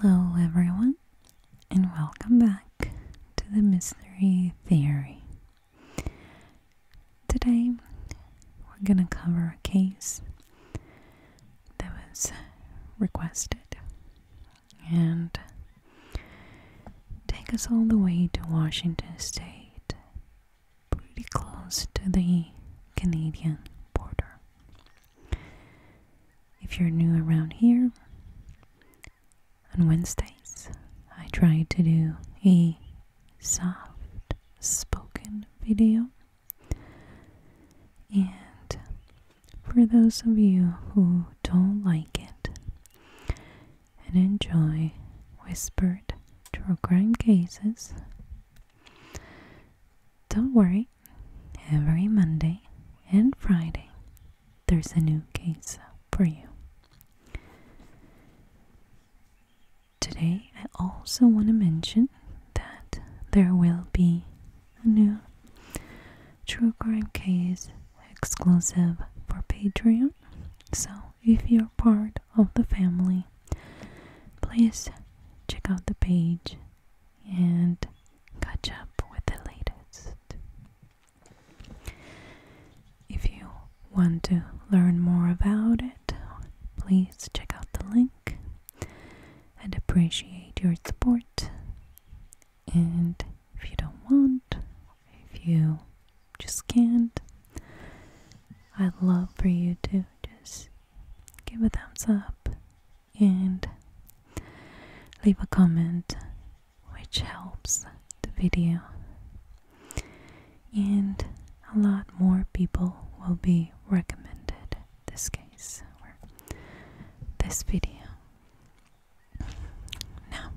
Hello, everyone, and welcome back to the Mystery Theory. Today, we're going to cover a case that was requested and take us all the way to Washington State, pretty close to the Canadian border. If you're new around here, on Wednesdays I try to do a soft spoken video, and for those of you who don't like it and enjoy whispered true crime cases. Don't worry, every Monday and Friday there's a new case for you. Today, I also want to mention that there will be a new True Crime Case exclusive for Patreon. So, if you're part of the family, please check out the page and catch up with the latest. If you want to learn more about it, please check out the link and appreciate your support and if you don't want, if you just can't, I'd love for you to just give a thumbs up and leave a comment which helps the video. And a lot more people will be recommended this case this video. Now,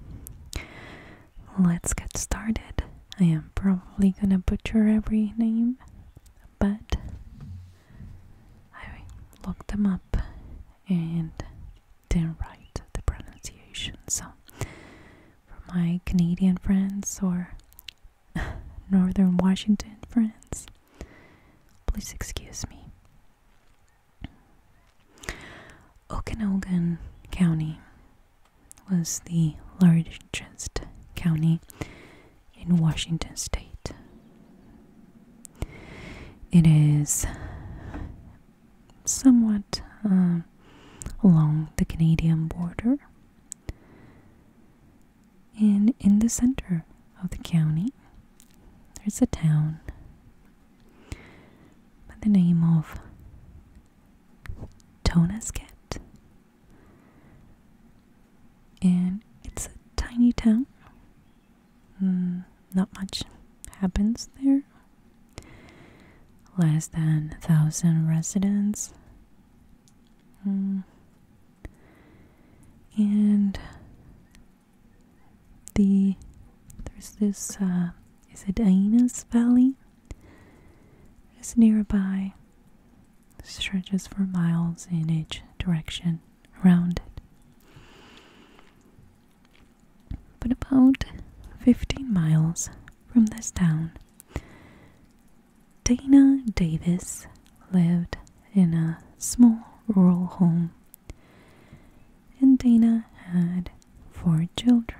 let's get started. I am probably gonna butcher every name, but I looked them up and then write the pronunciation. So, for my Canadian friends or Northern Washington friends, please excuse me. Okanogan County was the largest county in Washington state. It is somewhat uh, along the Canadian border. And in the center of the county. There's a town by the name of Tonasket. And it's a tiny town. Mm, not much happens there. Less than a thousand residents. Mm. And the there's this uh, is it Aenas Valley? It's nearby. Stretches for miles in each direction around it. But about 15 miles from this town, Dana Davis lived in a small rural home and Dana had four children.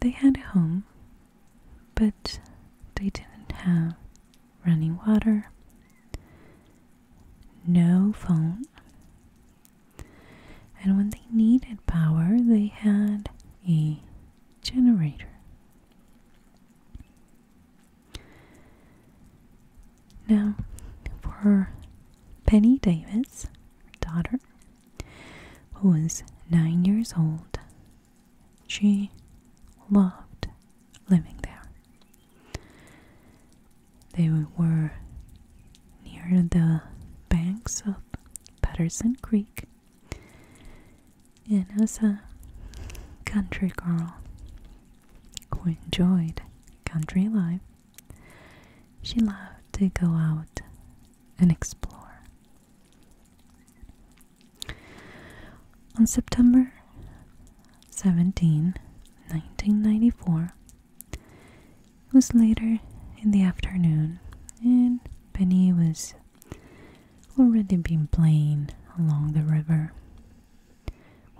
They had a home, but they didn't have running water, no phone, and when they needed power, they had a generator. Now, for Penny Davis, daughter, who was nine years old, she loved living there. They were near the banks of Patterson Creek, and as a country girl who enjoyed country life, she loved to go out and explore. On September 17, 1994, it was later in the afternoon, and Penny was already been playing along the river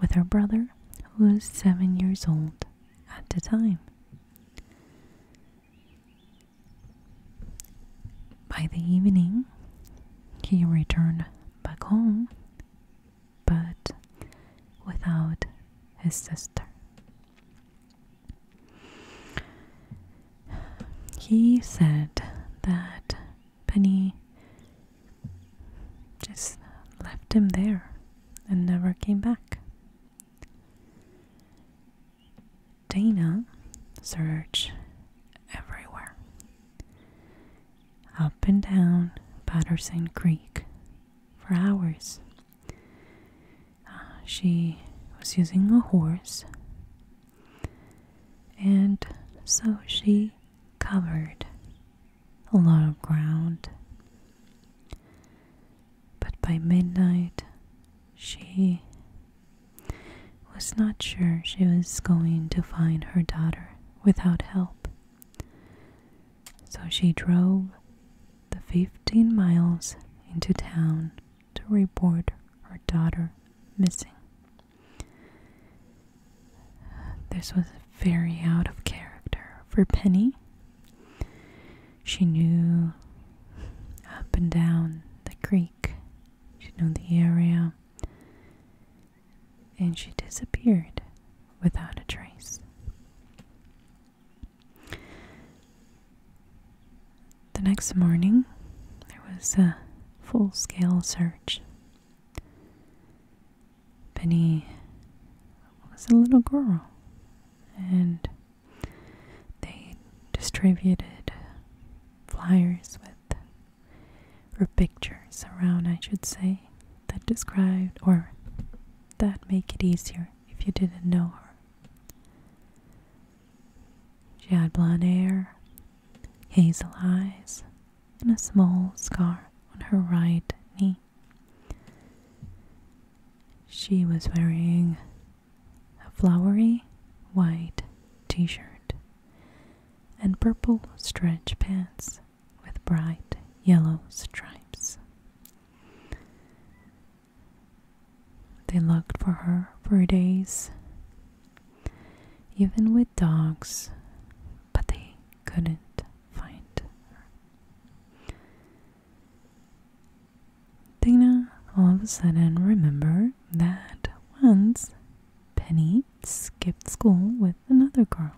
with her brother, who was seven years old at the time. By the evening, he returned back home, but without his sister. He said that Penny just left him there and never came back. Dana searched everywhere up and down Patterson Creek for hours. Ah, she was using a horse, and so she covered a lot of ground. But by midnight, she was not sure she was going to find her daughter without help. So she drove the 15 miles into town to report her daughter missing. This was very out of character for Penny. She knew up and down the creek, she knew the area, and she disappeared without a trace. The next morning, there was a full scale search Benny was a little girl, and they distributed flyers with or pictures around, I should say, that described or that make it easier if you didn't know her. She had blonde hair, hazel eyes, and a small scar on her right knee. She was wearing a flowery white t shirt and purple stretch pants with bright yellow stripes. They looked for her for days. Even with dogs, but they couldn't find Dana all of a sudden remember that once Penny skipped school with another girl.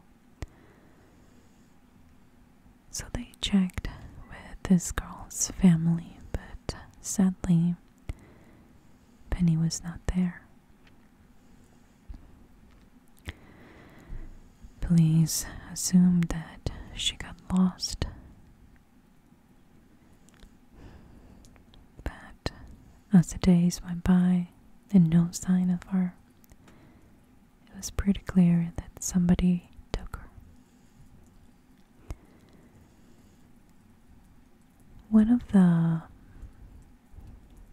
So they checked with this girl's family, but sadly, Penny was not there. Please assume that she got lost. But as the days went by and no sign of her, it was pretty clear that somebody took her one of the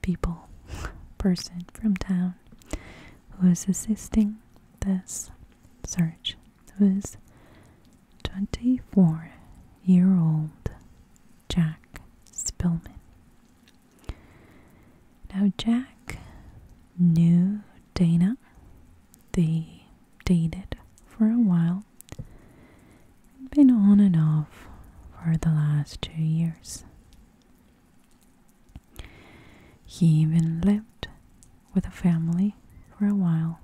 people, person from town who was assisting this search was 24 year old Jack Spillman. Now, Jack knew Dana, they dated for a while, been on and off for the last two years. He even lived with a family for a while.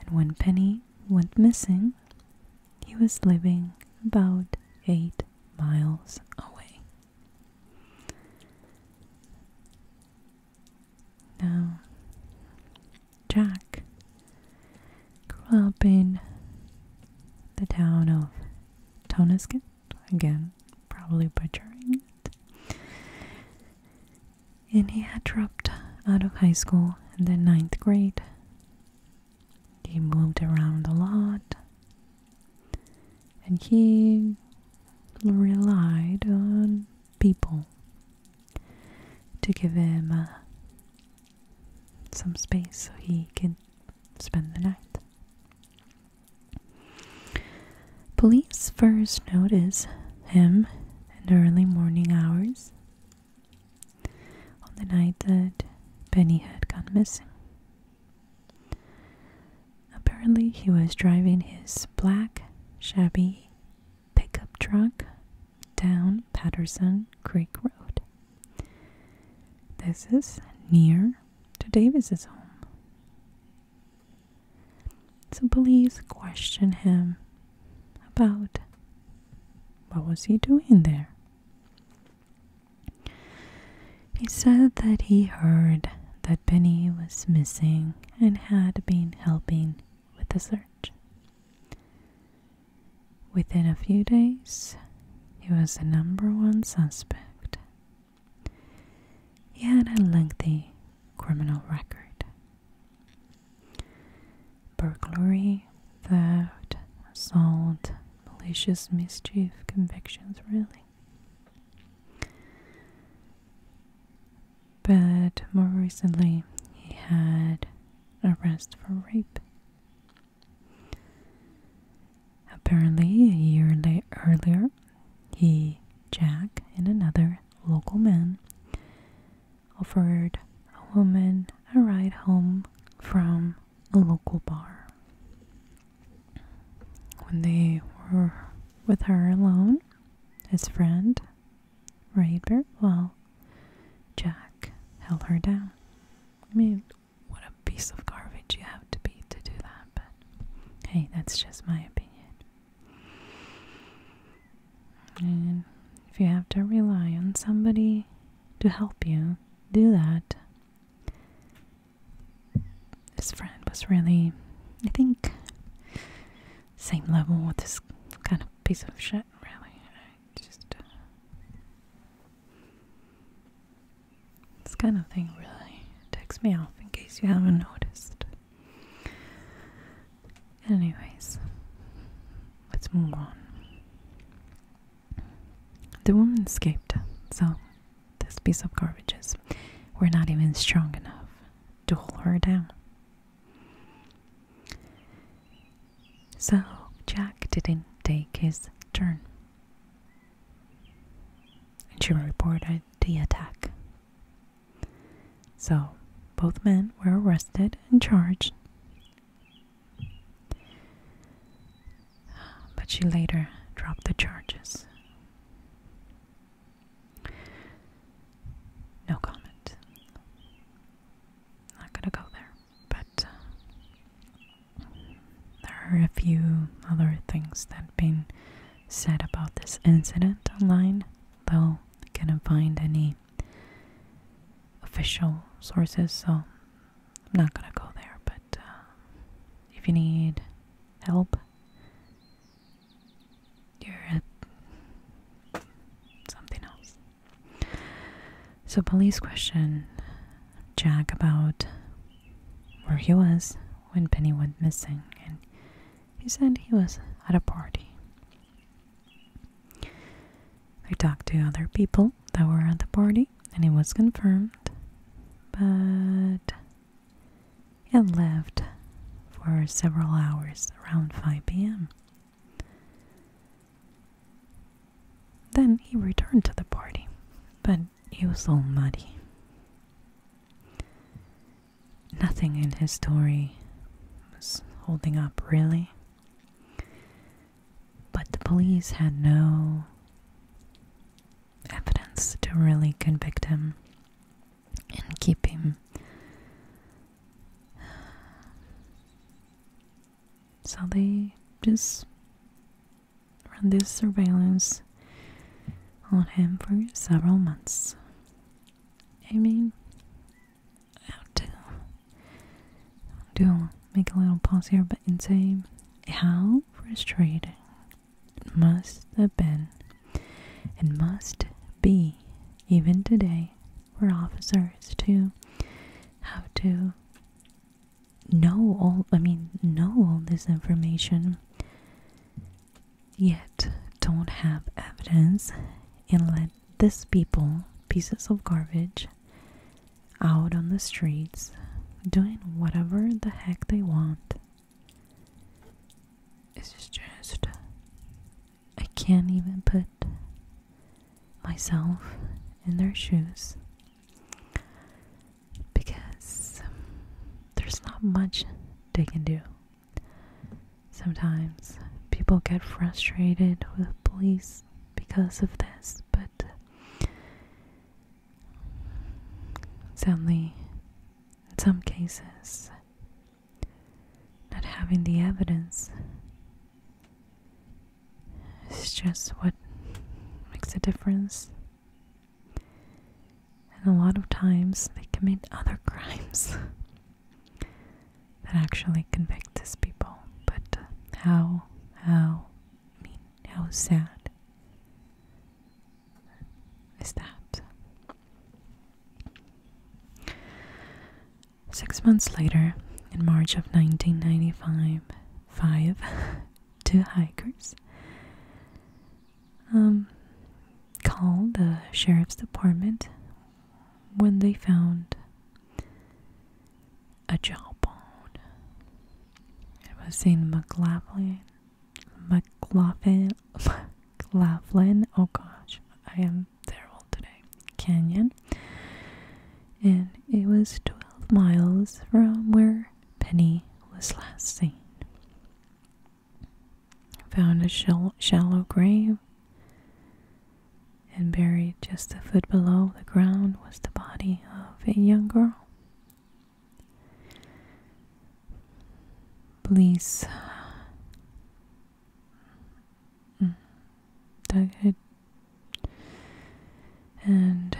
And when Penny went missing, he was living about eight miles away. Now, Jack grew up in the town of Tonasket, again, probably butchering it. And he had dropped out of high school in the ninth grade. He moved around a lot and he relied on people to give him some space so he can spend the night. Police first notice him in the early morning hours on the night that Benny had gone missing. Apparently, he was driving his black, shabby pickup truck down Patterson Creek Road. This is near to Davis's home. So please question him about what was he doing there. He said that he heard that Benny was missing and had been helping with the search. Within a few days, he was the number one suspect. He had a lengthy criminal record burglary, theft, assault, malicious mischief convictions, really. But more recently, he had arrest for rape. Apparently, a year earlier, he, Jack, and another local man offered a woman a ride home from a local bar. When they were with her alone, his friend, Raver, well, Jack held her down. I mean, what a piece of garbage you have to be to do that, but hey, that's just my opinion. And if you have to rely on somebody to help you do that, this friend was really, I think, same level with this kind of piece of shit, really just uh, this kind of thing really ticks me off in case you haven't noticed. Anyways, let's move on. The woman escaped, so this piece of garbage is we're not even strong enough to hold her down. So Jack didn't take his turn. And she reported the attack. So both men were arrested and charged. But she later dropped the charges. No comment. Not gonna go there but uh, there are a few other things that have been said about this incident online, though I couldn't find any official sources, so I'm not gonna go there. But uh, if you need help, you're at something else. So, police questioned Jack about where he was when Penny went missing, and he said he was at a party. They talked to other people that were at the party, and it was confirmed, but he left for several hours around 5 p.m. Then he returned to the party, but he was all muddy. Nothing in his story was holding up, really. But the police had no evidence to really convict him and keep him so they just run this surveillance on him for several months. I mean, I do, do make a little pause here, but insane. how frustrating it must have been and must be even today for officers to have to know all I mean know all this information yet don't have evidence and let these people pieces of garbage out on the streets doing whatever the heck they want this is just I can't even put myself in their shoes because there's not much they can do. Sometimes people get frustrated with police because of this, but sadly, in some cases, not having the evidence it's just what makes a difference. And a lot of times they commit other crimes that actually convict these people. But how, how, how sad is that? Six months later, in March of 1995, five two hikers um, called the sheriff's department when they found a jawbone. It was in McLaughlin. McLaughlin. McLaughlin. Oh gosh, I am terrible today. Canyon and it was 12 miles from where Penny was last seen. Found a shallow grave and buried just a foot below the ground was the body of a young girl. Police mm, Dughead. And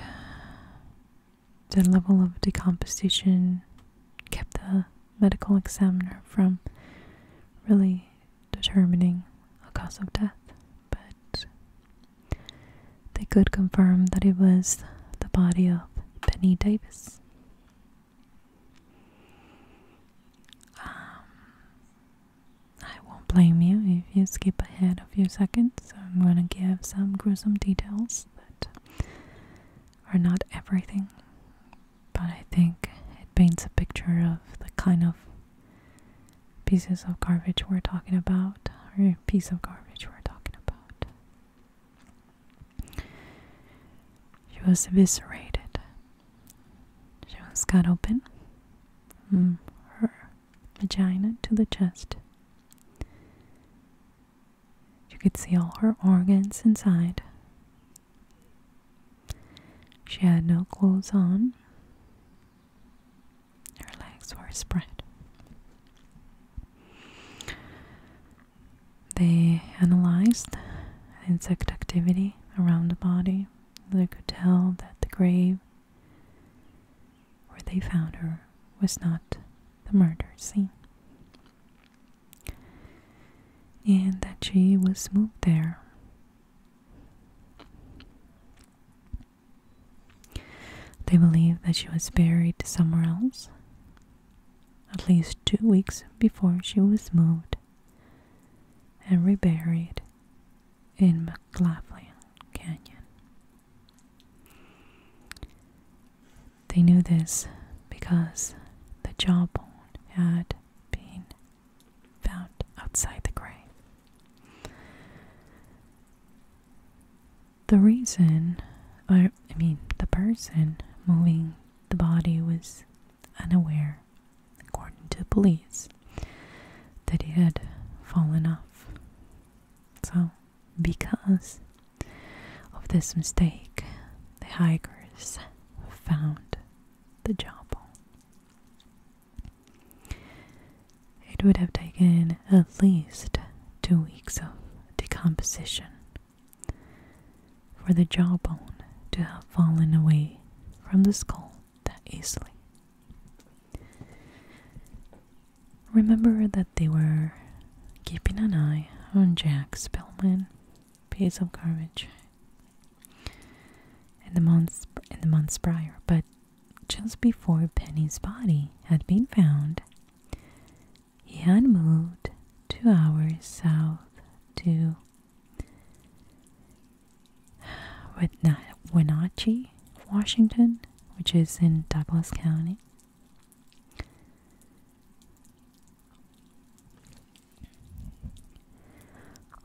the level of decomposition kept the medical examiner from really determining a cause of death, but they could confirm that it was the body of Penny Davis. Um, I won't blame you if you skip ahead a few seconds. I'm gonna give some gruesome details that are not everything, but I think it paints a picture of the kind of pieces of garbage we're talking about, or piece of garbage we're talking about. She was eviscerated. She was cut open. Mm, her vagina to the chest. You could see all her organs inside. She had no clothes on. Her legs were spread. They analyzed insect activity around the body. They could tell that the grave where they found her was not the murder scene. And that she was moved there. They believe that she was buried somewhere else, at least two weeks before she was moved and reburied in McLaughlin Canyon. They knew this because the jawbone had been found outside the grave. The reason, or I mean, the person moving the body was unaware, according to the police, that he had fallen off so, because of this mistake, the hikers found the Joppa. It would have taken at least two weeks of decomposition for the jawbone to have fallen away from the skull that easily. Remember that they were keeping an eye on Jack Spellman, piece of garbage, in the months in the months prior. But just before Penny's body had been found, he had moved two hours south to with Wenatchee, Washington, which is in Douglas County.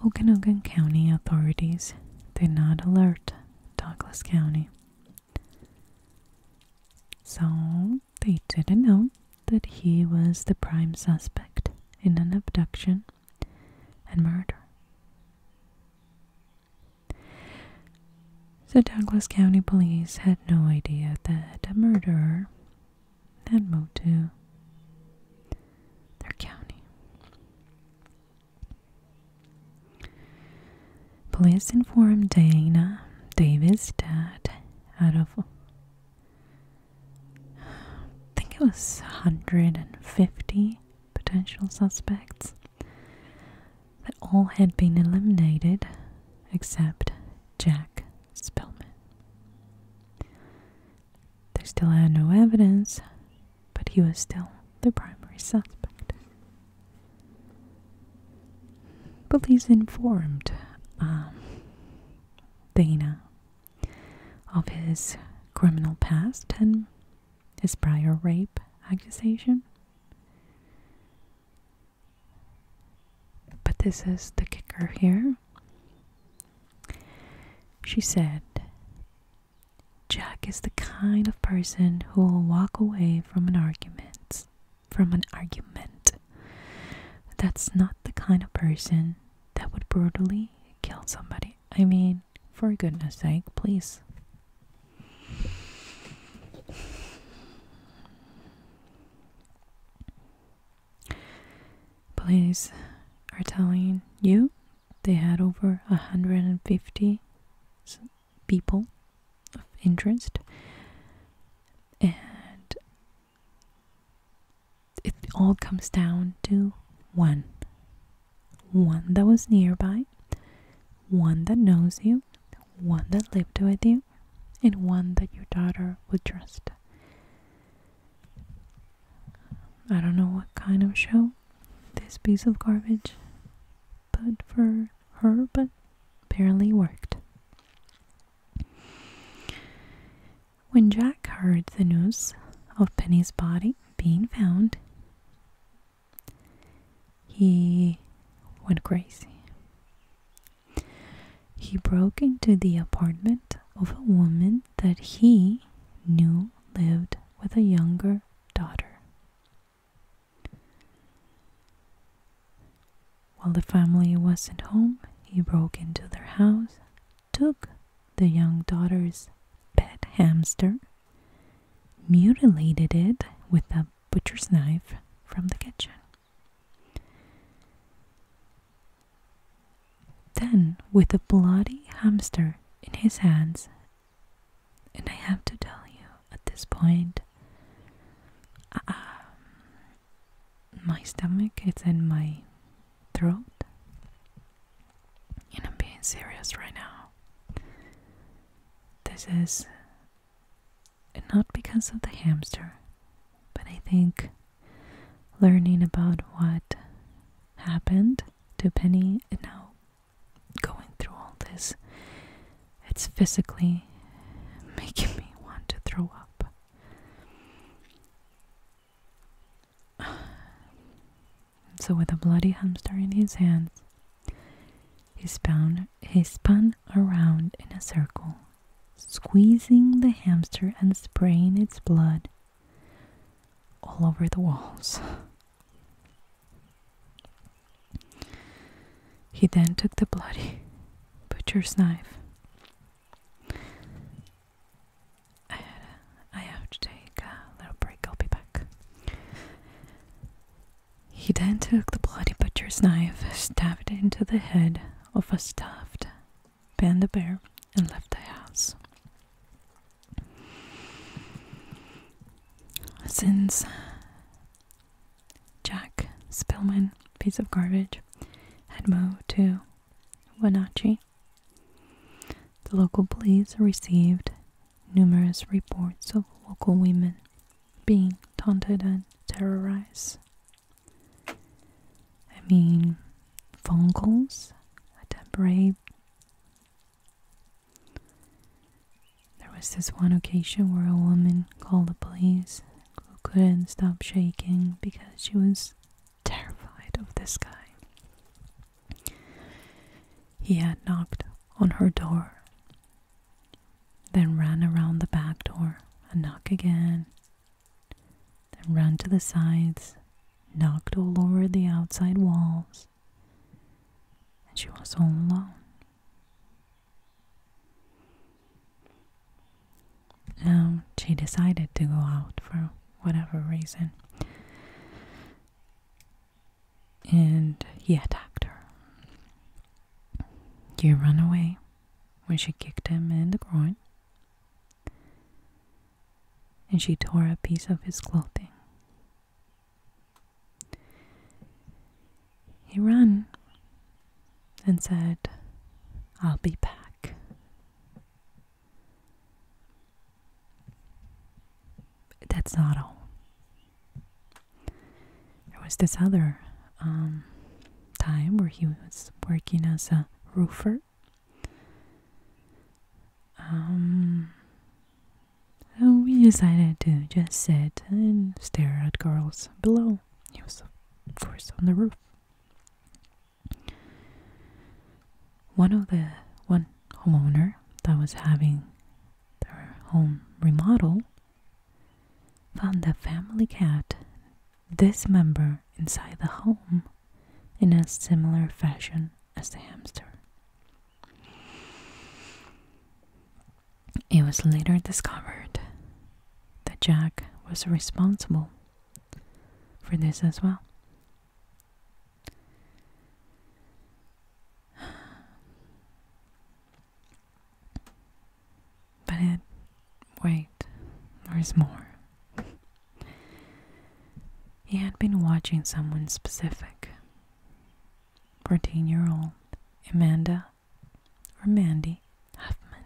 Okanogan County authorities did not alert Douglas County. So they didn't know that he was the prime suspect in an abduction and murder. The Douglas County Police had no idea that a murderer had moved their county. Police informed Dana Davis that out of I think it was 150 potential suspects. That all had been eliminated except Jack Spellman. They still had no evidence, but he was still the primary suspect. Police informed um, Dana of his criminal past and is prior rape accusation. But this is the kicker here. She said, Jack is the kind of person who will walk away from an argument, from an argument. That's not the kind of person that would brutally kill somebody. I mean, for goodness sake, please. Police are telling you they had over 150 people of interest, and it all comes down to one one that was nearby, one that knows you, one that lived with you, and one that your daughter would trust. I don't know what kind of show this piece of garbage but for her, but barely worked. When Jack heard the news of Penny's body being found, he went crazy. He broke into the apartment of a woman that he knew lived with a younger daughter. While the family wasn't home, he broke into their house, took the young daughter's pet hamster mutilated it with a butcher's knife from the kitchen. Then, with a bloody hamster in his hands, and I have to tell you at this point, uh, my stomach is in my throat, and I'm being serious right now. This is not because of the hamster, but I think learning about what happened to Penny and now going through all this, it's physically making me want to throw up. So, with a bloody hamster in his hands, he spun, he spun around in a circle, squeezing the hamster and spraying its blood all over the walls. He then took the bloody butcher's knife. I, have to take a little break, I'll be back. He then took the bloody butcher's knife, stabbed it into the head of a stuffed panda bear, and left the house. Since Jack Spillman, piece of garbage, had moved to Wenatchee, the local police received numerous reports of local women being taunted and terrorized. I mean, phone calls, attempt rape. There was this one occasion where a woman called the police who couldn't stop shaking because she was terrified of this guy. He had knocked on her door then run around the back door and knock again, then run to the sides, knocked all over the outside walls, and she was all alone. Now she decided to go out for whatever reason and he attacked her. He ran away when she kicked him in the groin, and she tore a piece of his clothing. He ran and said, I'll be back. That's not all. There was this other um, time where he was working as a roofer. Um, we decided to just sit and stare at girls below. He was, of course, on the roof. One of the one homeowner that was having their home remodel, found the family cat dismembered inside the home in a similar fashion as the hamster. It was later discovered that Jack was responsible for this as well. But Wait, there's more. He had been watching someone specific. 14 year old Amanda or Mandy Huffman,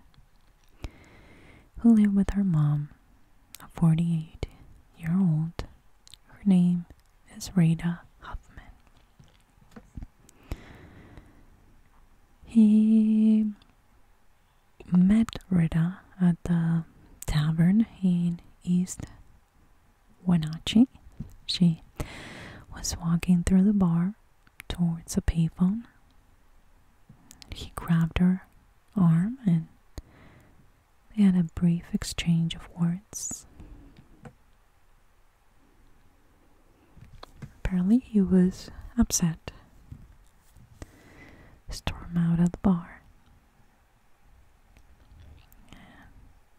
who lived with her mom, a 48 year old. Her name is Rita Huffman. He met Rita at the tavern in East Wenatchee. She was walking through the bar towards a payphone. He grabbed her arm and they had a brief exchange of words. Apparently, he was upset. Storm out of the bar.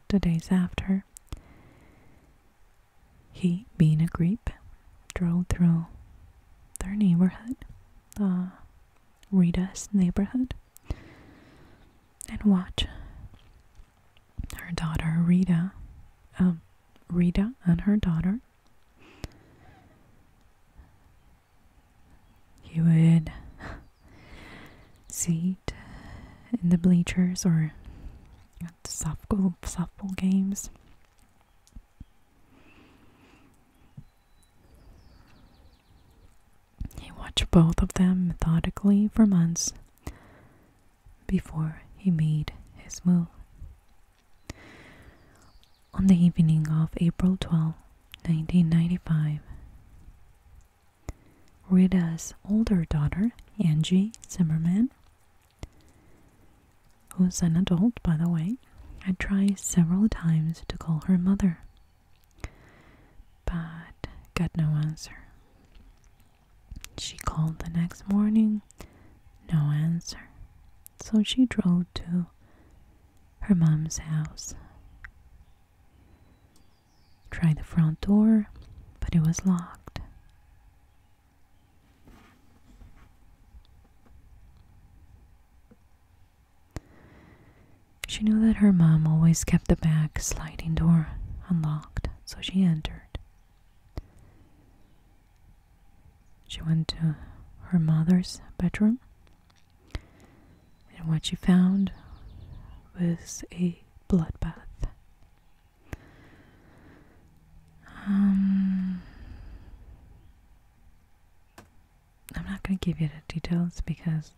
The days after, he, being a creep, drove through their neighborhood, the Rita's neighborhood, and watched her daughter Rita, um, Rita and her daughter. He would sit in the bleachers or at softball games. He watched both of them methodically for months, before he made his move. On the evening of April 12, 1995, Rita's older daughter, Angie Zimmerman, who's an adult by the way, I tried several times to call her mother, but got no answer. She called the next morning, no answer. So she drove to her mom's house. Tried the front door, but it was locked. She knew that her mom always kept the back sliding door unlocked so she entered. She went to her mother's bedroom, and what she found was a bloodbath. Um, I'm not going to give you the details because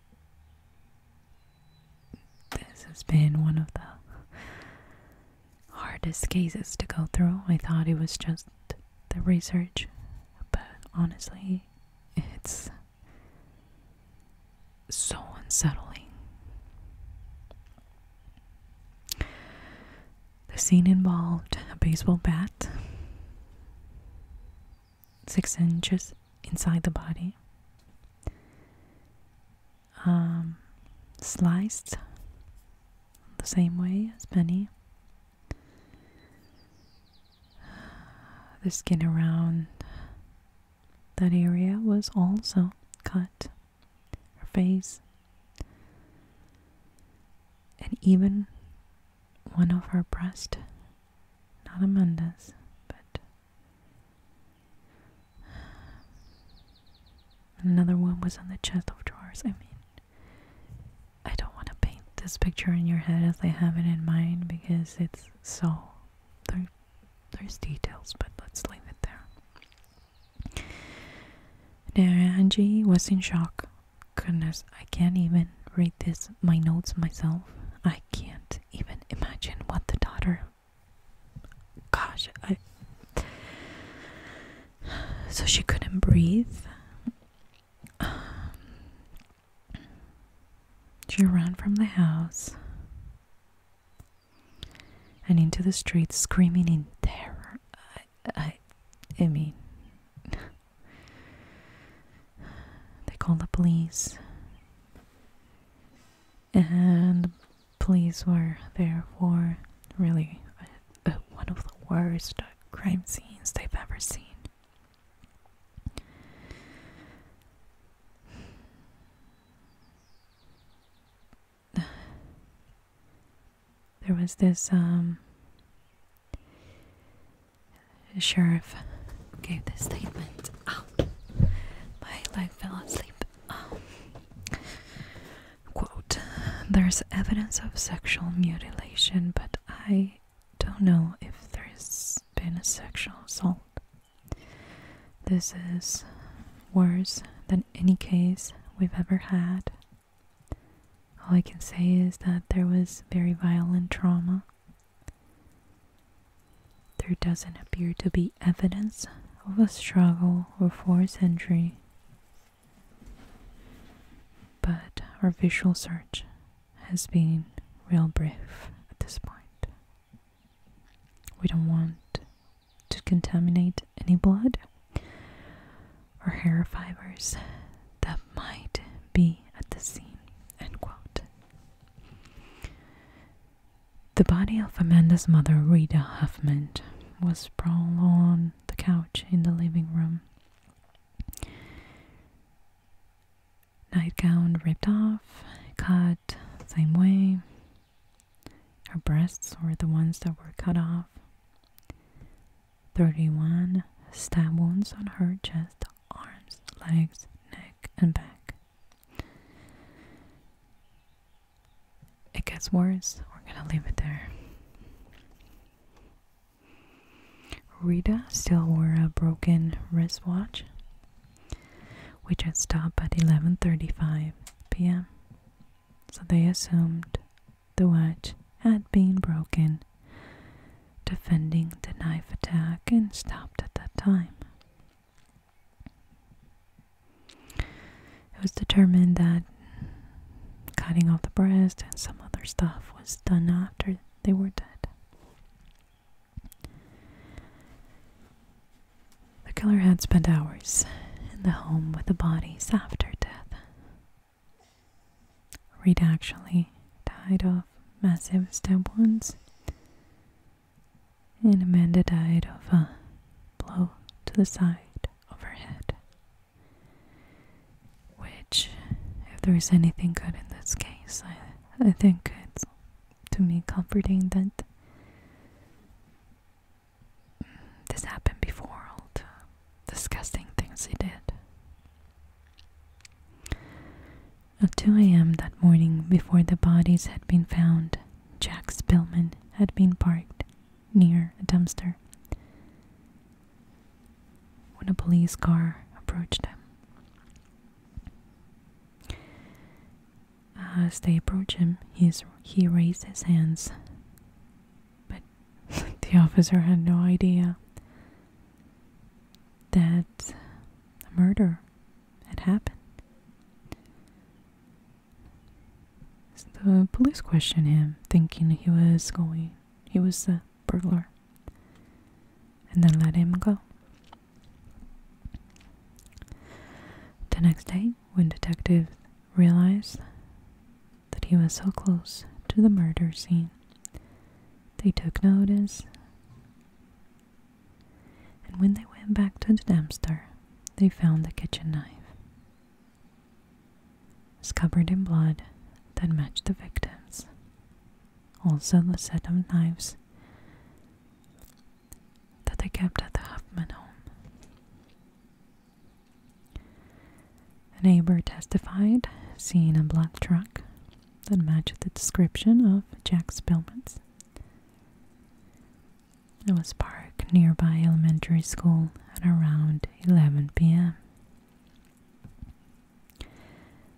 this has been one of the hardest cases to go through. I thought it was just the research, but honestly, it's so unsettling. The scene involved a baseball bat, six inches inside the body, um, sliced the same way as Benny. The skin around that area was also cut. Her face. And even one of her breasts Not Amanda's, but Another one was on the chest of drawers. I mean, I don't want to paint this picture in your head as I have it in mine because it's so. there's details, but let's leave it there. Naranji was in shock. Goodness, I can't even read this, my notes myself. I can't even imagine what the daughter gosh, I so she couldn't breathe. Um, she ran from the house and into the street, screaming in terror. I, I, I mean, they called the police and police were there for really uh, one of the worst crime scenes they've ever seen. There was this um, sheriff gave this statement. Oh, my leg fell asleep there's evidence of sexual mutilation, but I don't know if there's been a sexual assault. This is worse than any case we've ever had. All I can say is that there was very violent trauma. There doesn't appear to be evidence of a struggle or forced entry. But our visual search has been real brief at this point. We don't want to contaminate any blood or hair fibers that might be at the scene. The body of Amanda's mother, Rita Huffman, was sprawled on the couch in the living room. Nightgown ripped off, cut, same way. Her breasts were the ones that were cut off. 31 stab wounds on her chest, arms, legs, neck, and back. It gets worse. We're gonna leave it there. Rita still wore a broken wristwatch, which had stopped at 11:35 p.m. So they assumed the watch had been broken, defending the knife attack, and stopped at that time. It was determined that cutting off the breast and some other stuff was done after they were dead. The killer had spent hours in the home with the bodies after death. Reed actually died of massive stab wounds and Amanda died of a blow to the side of her head. Which, if there is anything good in this case, I, think it's to me comforting that this happened before all the disgusting things he did. At 2 a.m. that morning, before the bodies had been found, Jack Spillman had been parked near a dumpster when a police car approached them. As they approached him, he raised his hands, but the officer had no idea that a murder had happened the police questioned him, thinking he was going, he was the burglar, and then let him go. The next day, when detectives realized that he was so close to the murder scene, they took notice. And when they went back to the dumpster, they found the kitchen knife. It's covered in blood that matched the victims. Also, the set of knives that they kept at the Huffman home. A neighbor testified seeing a black truck that matched the description of Jack Spillman's. It was Park nearby elementary school at around 11 p.m.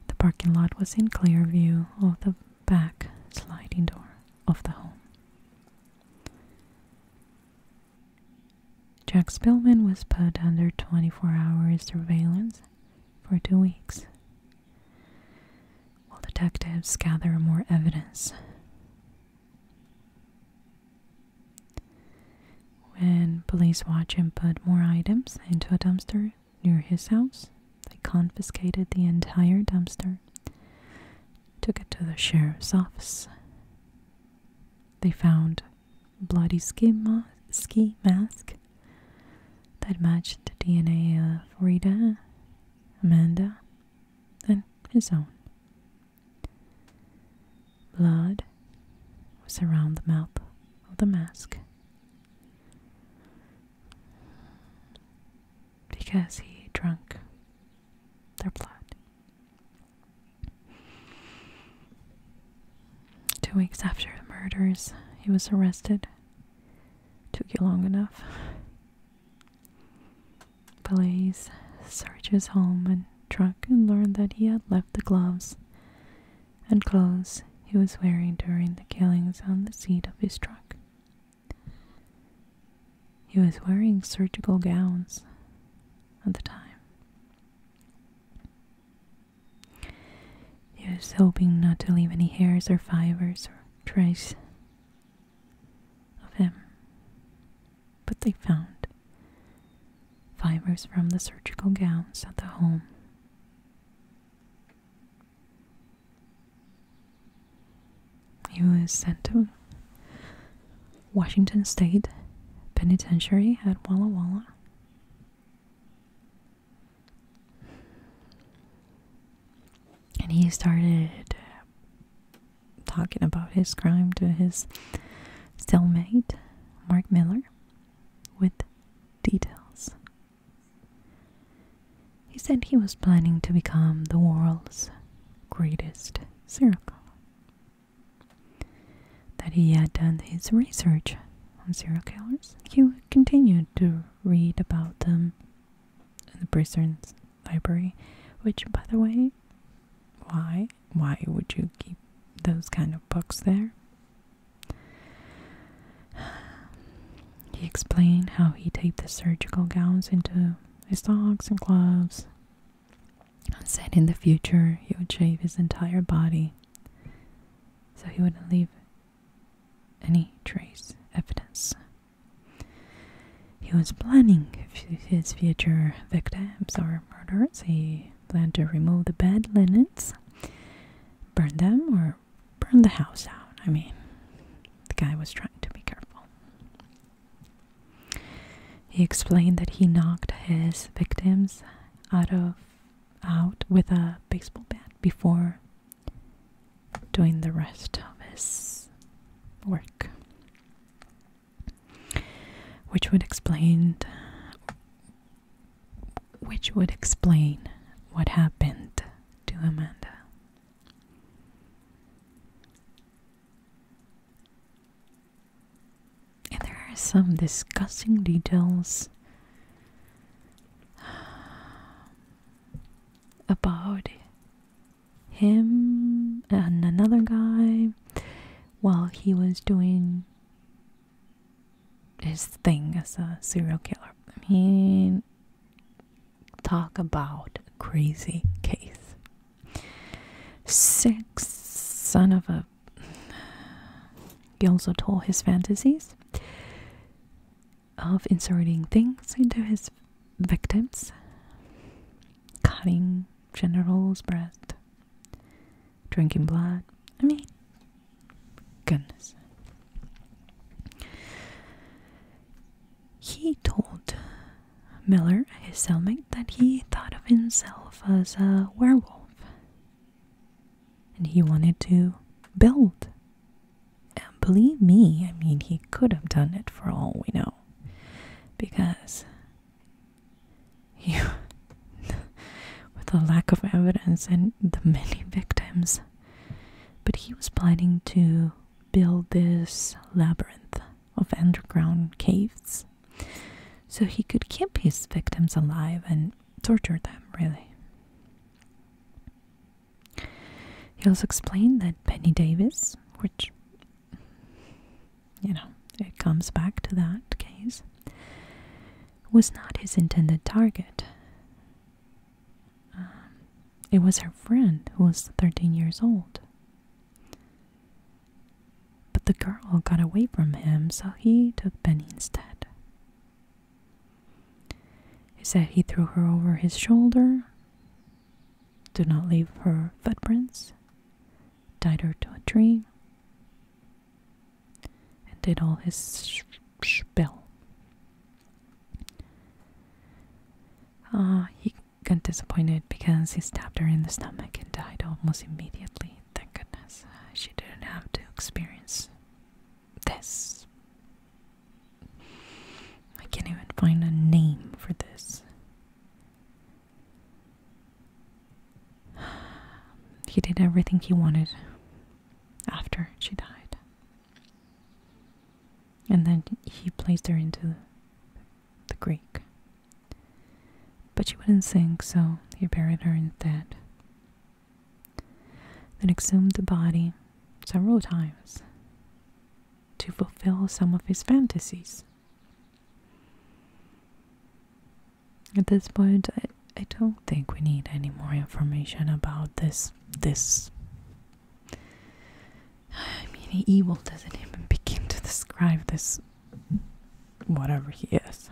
The parking lot was in clear view of the back sliding door of the home. Jack Spillman was put under 24 hour surveillance for two weeks while detectives gather more evidence. When police watched him put more items into a dumpster near his house, they confiscated the entire dumpster, took it to the sheriff's office. They found bloody ski, ski mask that matched the DNA of Rita, Amanda, than his own. Blood was around the mouth of the mask because he drank their blood. Two weeks after the murders, he was arrested. Took you long enough police searched his home and truck and learned that he had left the gloves and clothes he was wearing during the killings on the seat of his truck. He was wearing surgical gowns at the time. He was hoping not to leave any hairs or fibers or trace of him. But they found fibers from the surgical gowns at the home. He was sent to Washington State Penitentiary at Walla Walla and he started talking about his crime to his cellmate, Mark Miller, with details. He said he was planning to become the world's greatest serial killer. That he had done his research on serial killers. He continued to read about them in the prisons library, which, by the way, why? Why would you keep those kind of books there? He explained how he taped the surgical gowns into his socks and gloves and said in the future he would shave his entire body so he wouldn't leave any trace evidence he was planning his future victims or murders. He planned to remove the bed linens, burn them, or burn the house out. I mean, the guy was trying to be careful. He explained that he knocked his victims out of out with a baseball bat before doing the rest of his work which would explain which would explain what happened to Amanda. And there are some disgusting details about him and another guy while he was doing his thing as a serial killer. I mean, talk about a crazy case. Six son of a. He also told his fantasies of inserting things into his victims cutting general's breath, drinking blood. I mean, goodness. He told Miller, his cellmate, that he thought of himself as a werewolf and he wanted to build. And believe me, I mean, he could have done it for all we know because you with the lack of evidence and the many victims but he was planning to build this labyrinth of underground caves so he could keep his victims alive and torture them really he also explained that Penny Davis, which you know, it comes back to that case, was not his intended target. Um, it was her friend who was 13 years old. But the girl got away from him, so he took Benny instead. He said he threw her over his shoulder do not leave her footprints, tied her to a tree, and did all his spell. Uh, he got disappointed because he stabbed her in the stomach and died almost immediately. Thank goodness uh, she didn't have to experience this. I can't even find a name for this. He did everything he wanted after she died. And then he placed her into the creek. But she wouldn't sink, so he buried her instead. Then exhumed the body several times to fulfill some of his fantasies. At this point, I, I don't think we need any more information about this. This. I mean, evil doesn't even begin to describe this. whatever he is.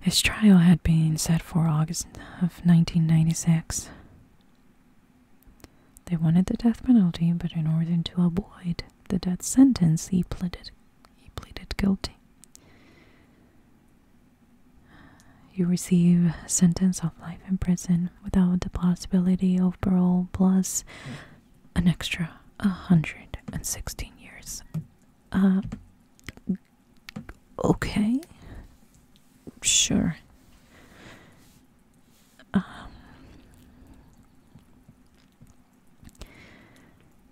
His trial had been set for August of 1996. They wanted the death penalty, but in order to avoid the death sentence, he pleaded he pleaded guilty. You receive a sentence of life in prison without the possibility of parole, plus an extra 116 years. Uh, okay, sure. Um,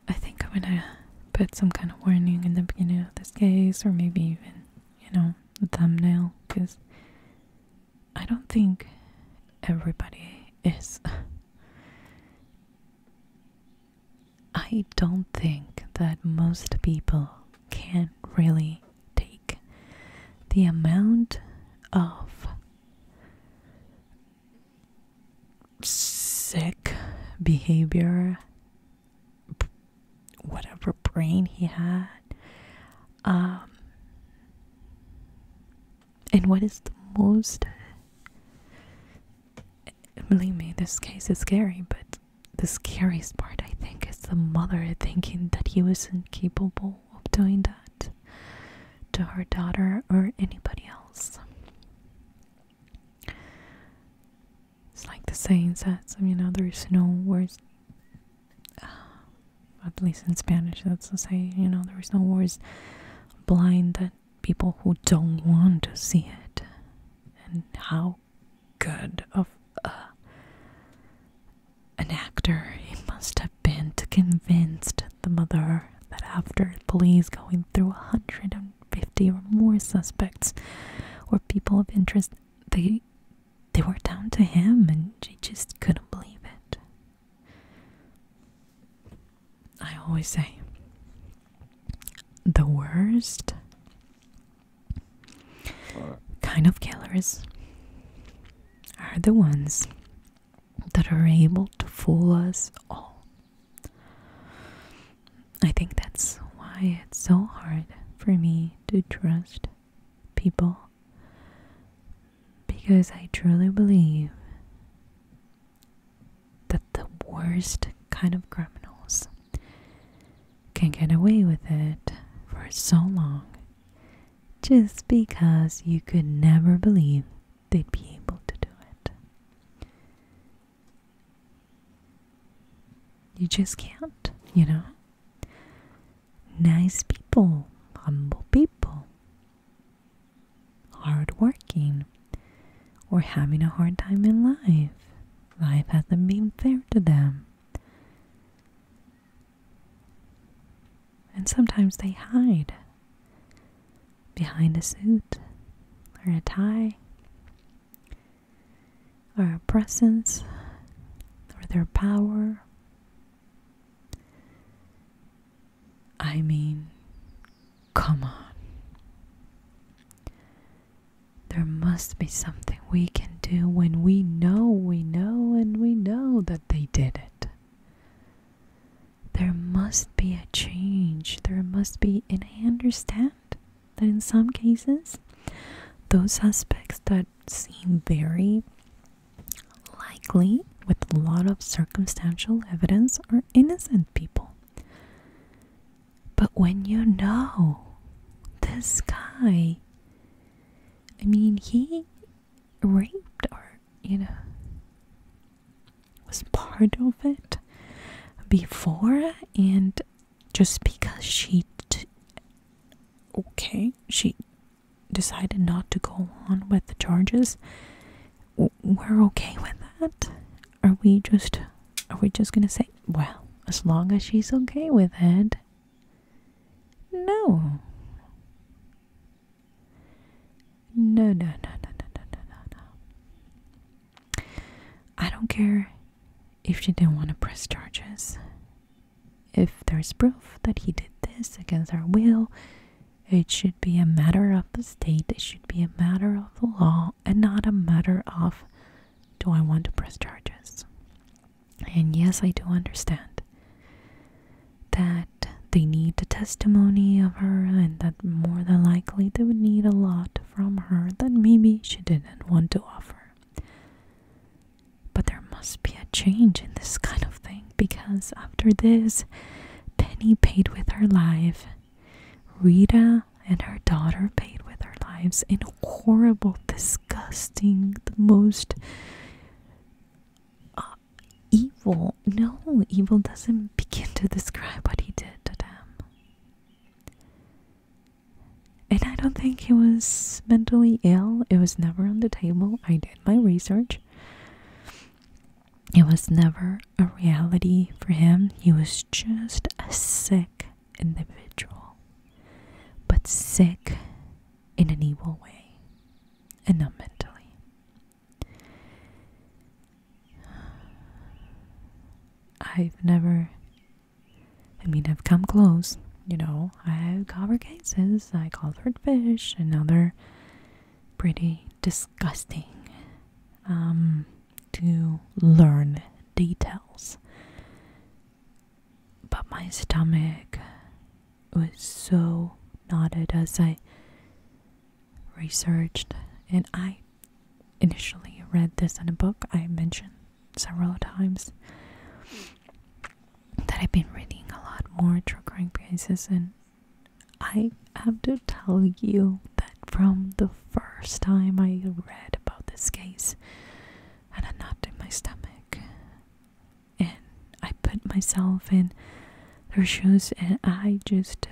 I think I'm gonna put some kind of warning in the beginning of this case, or maybe even, you know, a thumbnail, because I don't think everybody is. I don't think that most people can really take the amount of sick behavior whatever brain he had um and what is the most believe me this case is scary but the scariest part i think is the mother thinking that he was incapable of doing that to her daughter or anybody else. It's like the saying says, you know, there's no words, at least in Spanish, that's the saying, you know, there's no words blind than people who don't want to see it. And how good of a an actor he must have been to convince the mother that after police going through 150 or more suspects or people of interest, they they were down to him and she just couldn't believe it. I always say the worst kind of killers are the ones that are able to fool us all. I think that's why it's so hard for me to trust people because I truly believe that the worst kind of criminals can get away with it for so long just because you could never believe they'd be able to do it. You just can't, you know? Nice people, humble people, hardworking, or having a hard time in life. Life hasn't been fair to them. And sometimes they hide behind a suit or a tie or a presence or their power. I mean, come on. There must be something we can do when we know, we know, and we know that they did it. There must be a change. There must be, and I understand that in some cases, those aspects that seem very likely with a lot of circumstantial evidence are innocent people. But when you know this guy, I mean, he raped or, you know, was part of it before and just because she okay she decided not to go on with the charges we're okay with that are we just are we just gonna say well as long as she's okay with it no no, no, no, no, no, no, no, no. I don't care if she didn't want to press charges. If there's proof that he did this against our will, it should be a matter of the state, it should be a matter of the law, and not a matter of do I want to press charges. And yes, I do understand that they need the testimony of her, and that more than likely they would need a lot from her that maybe she didn't want to offer. But there must be a change in this kind of thing because after this, Penny paid with her life, Rita and her daughter paid with their lives in a horrible, disgusting, the most uh, evil. No, evil doesn't begin to describe what he did to them. And I don't think he was mentally ill. It was never on the table. I did my research. It was never a reality for him. He was just a sick individual. But sick in an evil way and not mentally. I've never, I mean, I've come close, you know, I have covered cases I've like Alfred Fish and other pretty disgusting um, to learn details. But my stomach was so knotted as I researched. And I initially read this in a book I mentioned several times that I've been reading a lot more true crime cases, and I have to tell you that from the first time I read about this case, I had a knot in my stomach and I put myself in their shoes and I just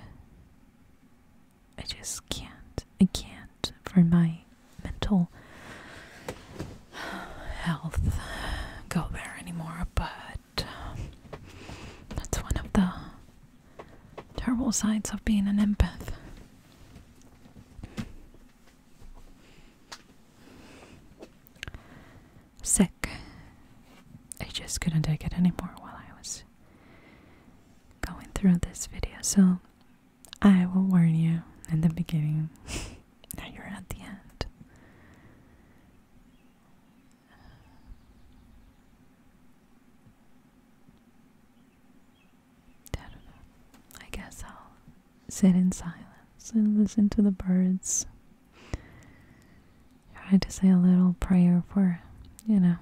I just can't I can't for my mental health go there anymore but um, that's one of the terrible sides of being an empath sick. I just couldn't take it anymore while I was going through this video. So I will warn you in the beginning. now you're at the end. I guess I'll sit in silence and listen to the birds i Try to say a little prayer for, you know,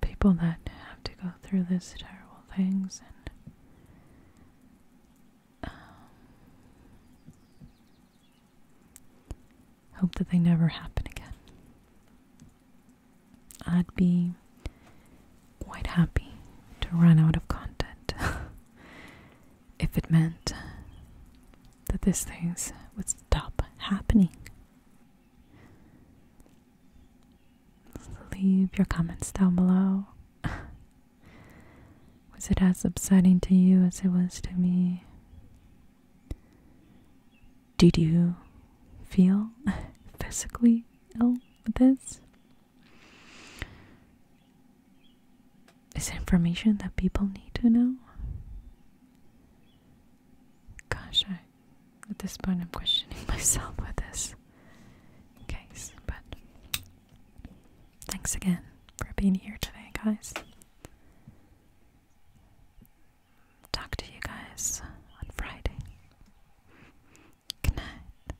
people that have to go through these terrible things and um, hope that they never happen again. I'd be quite happy to run out of content if it meant that these things would stop happening. Leave your comments down below. was it as upsetting to you as it was to me? Did you feel physically ill with this? Is information that people need to know? Gosh, I, at this point I'm questioning myself with this case, but thanks again for being here today, guys. Talk to you guys on Friday. Good night.